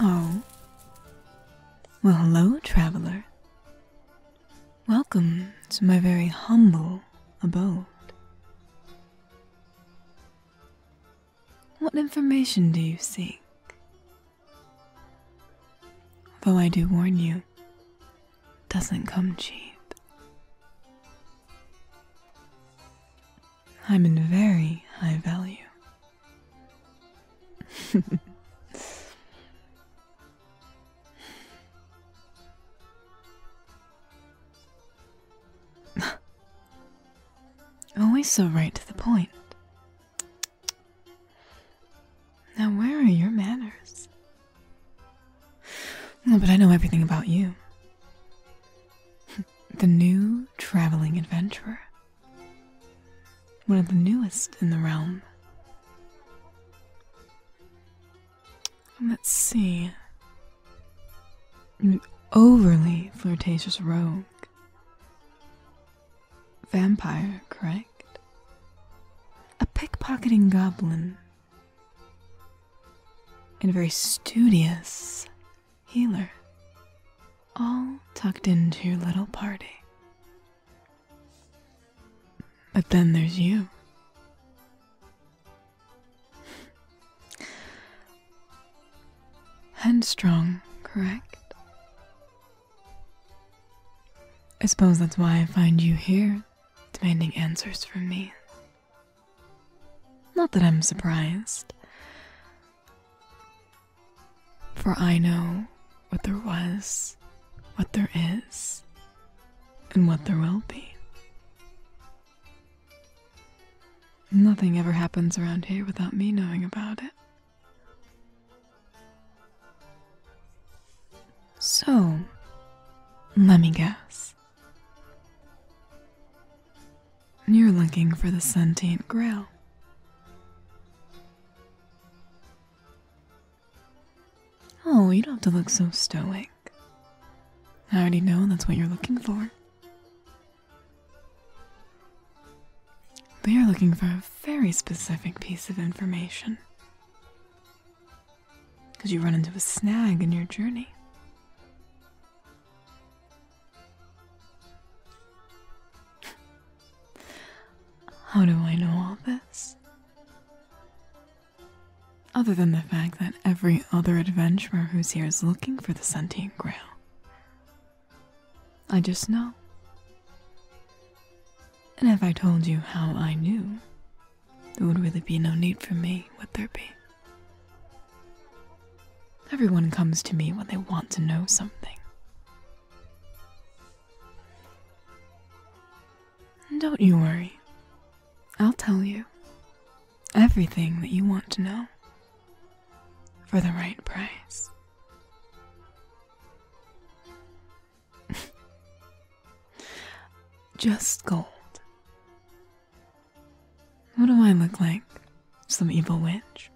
Oh. Well, hello, traveler. Welcome to my very humble abode. What information do you seek? Though I do warn you, doesn't come cheap. I'm in very high value. Always so right to the point. Now, where are your manners? but I know everything about you. The new traveling adventurer. One of the newest in the realm. Let's see. An overly flirtatious rogue. Vampire, correct? A pickpocketing goblin and very studious healer, all tucked into your little party. But then there's you. Headstrong, correct? I suppose that's why I find you here demanding answers from me. Not that I'm surprised, for I know what there was, what there is, and what there will be. Nothing ever happens around here without me knowing about it. So, let me guess. You're looking for the sentient grail. Oh, you don't have to look so stoic. I already know that's what you're looking for. We are looking for a very specific piece of information because you run into a snag in your journey. How do I know all this? Other than the fact that every other adventurer who's here is looking for the sentient grail. I just know. And if I told you how I knew, there would really be no need for me, would there be? Everyone comes to me when they want to know something. Don't you worry. I'll tell you everything that you want to know for the right price. Just gold. What do I look like? Some evil witch?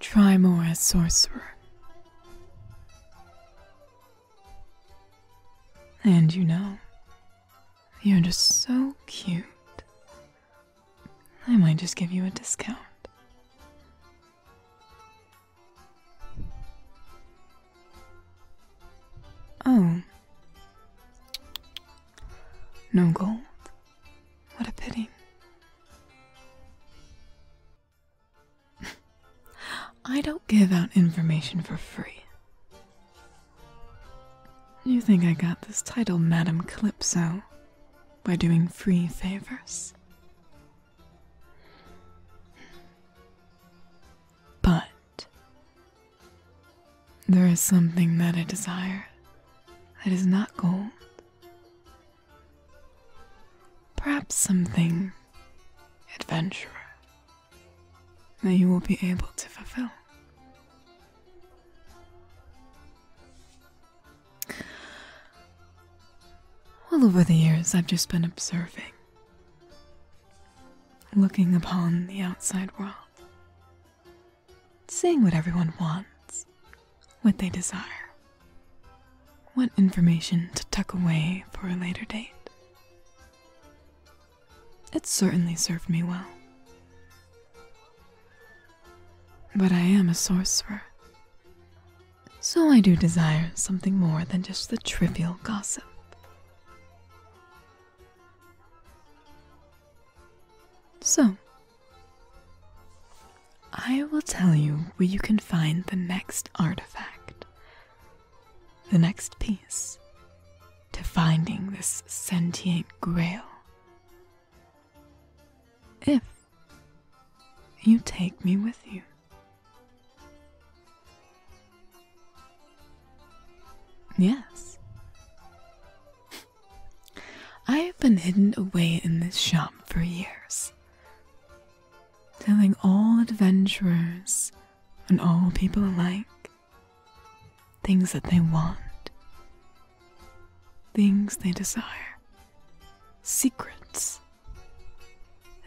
Try more as sorcerer. And you know, you're just so cute. I might just give you a discount. Oh. No gold. What a pity. I don't give out information for free. You think I got this title, Madam Calypso? by doing free favors. But there is something that I desire that is not gold. Perhaps something adventurous that you will be able to fulfill. Well, over the years, I've just been observing, looking upon the outside world, seeing what everyone wants, what they desire, what information to tuck away for a later date. It certainly served me well. But I am a sorcerer. So I do desire something more than just the trivial gossip. So, I will tell you where you can find the next artifact, the next piece to finding this sentient grail if you take me with you. Yes. I have been hidden away in this shop for years, telling all adventurers and all people alike things that they want, things they desire, secrets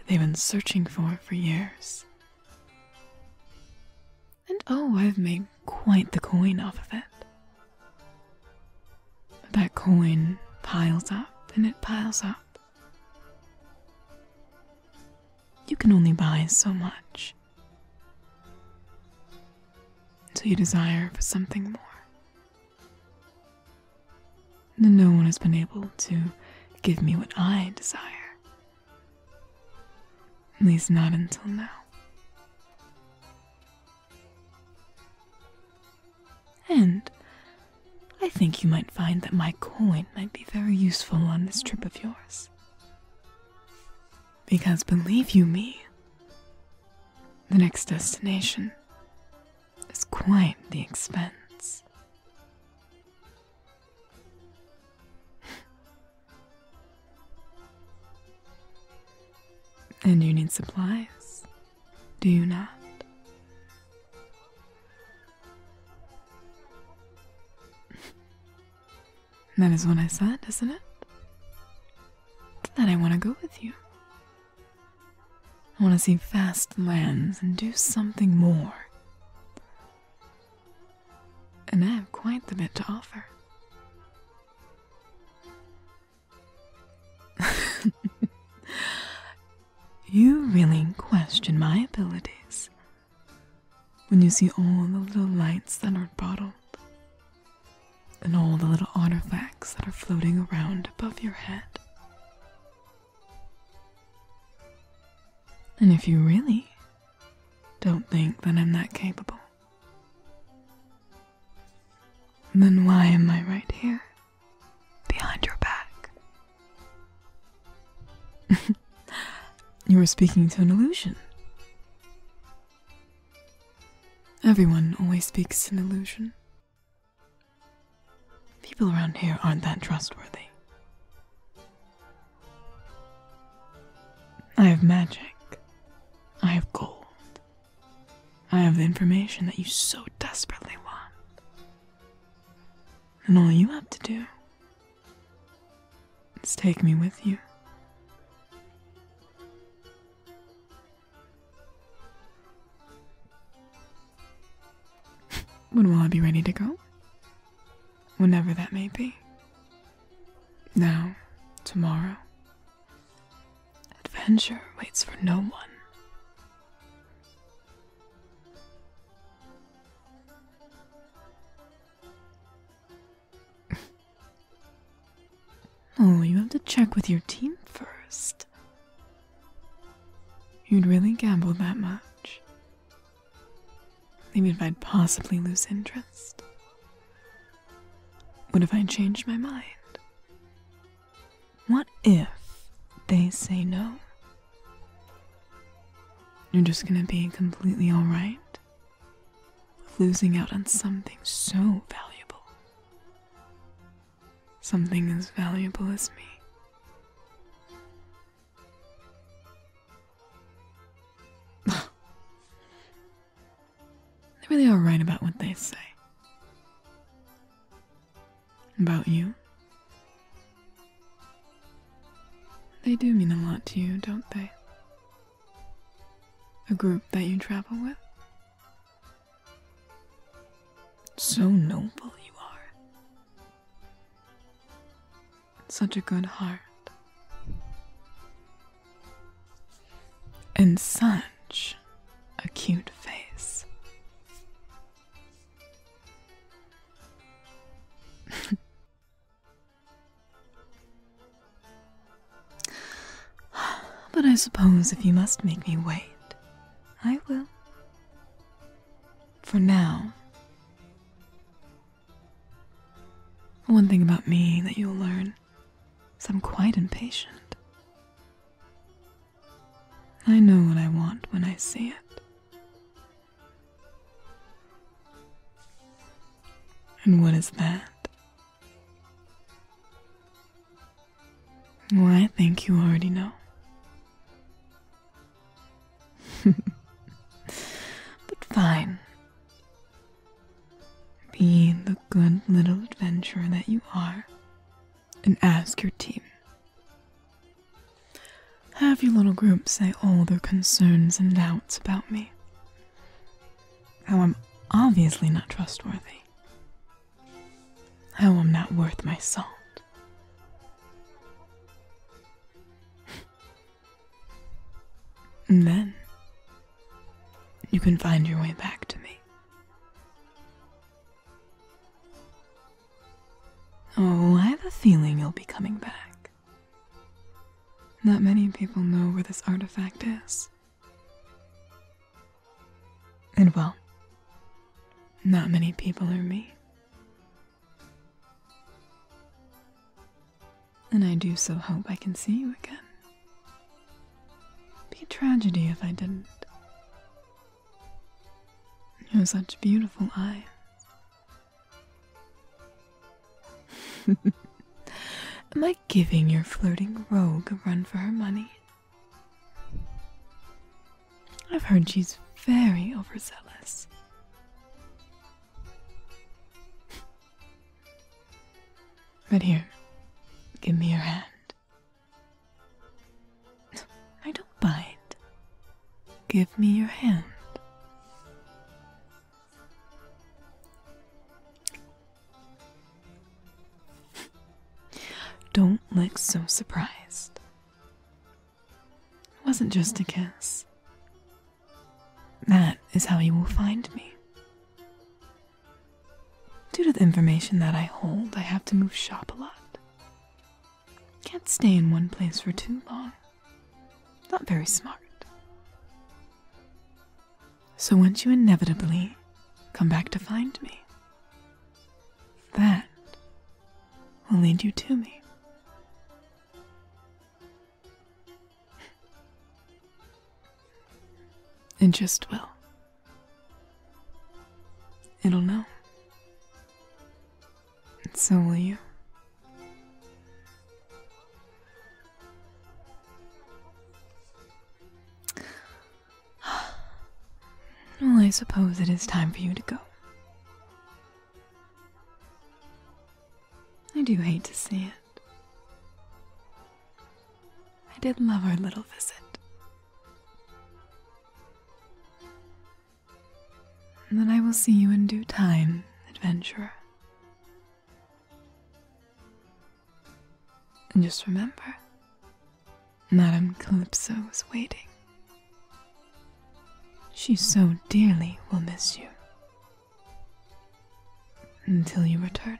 they've been searching for for years. And oh, I've made quite the coin off of it. But that coin piles up and it piles up. You can only buy so much to you desire for something more. No one has been able to give me what I desire, at least not until now. And I think you might find that my coin might be very useful on this trip of yours. Because believe you me, the next destination is quite the expense. and you need supplies, do you not? That is what I said, isn't it? That I want to go with you. I want to see vast lands and do something more. And I have quite the bit to offer. you really question my abilities when you see all the little lights that are bottled and all the little artifacts that are floating around above your head. And if you really don't think that I'm that capable, then why am I right here, behind your back? you were speaking to an illusion. Everyone always speaks in illusion. People around here aren't that trustworthy. I have magic. I have gold. I have the information that you so desperately want. And all you have to do take me with you. when will I be ready to go? Whenever that may be. Now, tomorrow. Adventure waits for no one. Oh, you have to check with your team first. You'd really gamble that much. Even if I'd possibly lose interest. What if I change my mind? What if they say no? You're just gonna be completely alright of losing out on something so valuable. Something as valuable as me. they really are right about what they say. About you? They do mean a lot to you, don't they? A group that you travel with? So noble you are. Such a good heart. And such a cute face. But I suppose if you must make me wait, I will. For now. One thing about me that you'll learn is I'm quite impatient. I know what I want when I see it. And what is that? Well, I think you already know. but fine. Be the good little adventurer that you are and ask your team have your little group say all their concerns and doubts about me. How I'm obviously not trustworthy. How I'm not worth my salt. and then you can find your way back to me. Oh, I have a feeling you'll be coming back. Not many people know where this artifact is. And well, not many people are me. And I do so hope I can see you again. Be a tragedy if I didn't. You are such beautiful eyes. Am I giving your flirting rogue a run for her money? I've heard she's very overzealous. But here, give me your hand. I don't bite. Give me your hand. Don't look so surprised. It wasn't just a kiss. That is how you will find me. Due to the information that I hold, I have to move shop a lot. Can't stay in one place for too long. Not very smart. So once you inevitably come back to find me, that will lead you to me. and just will. It'll know. And so will you. Well, I suppose it is time for you to go. I do hate to see it. I did love our little visit. And then I will see you in due time, adventurer. And just remember, Madame Calypso is waiting. She so dearly will miss you. Until you return.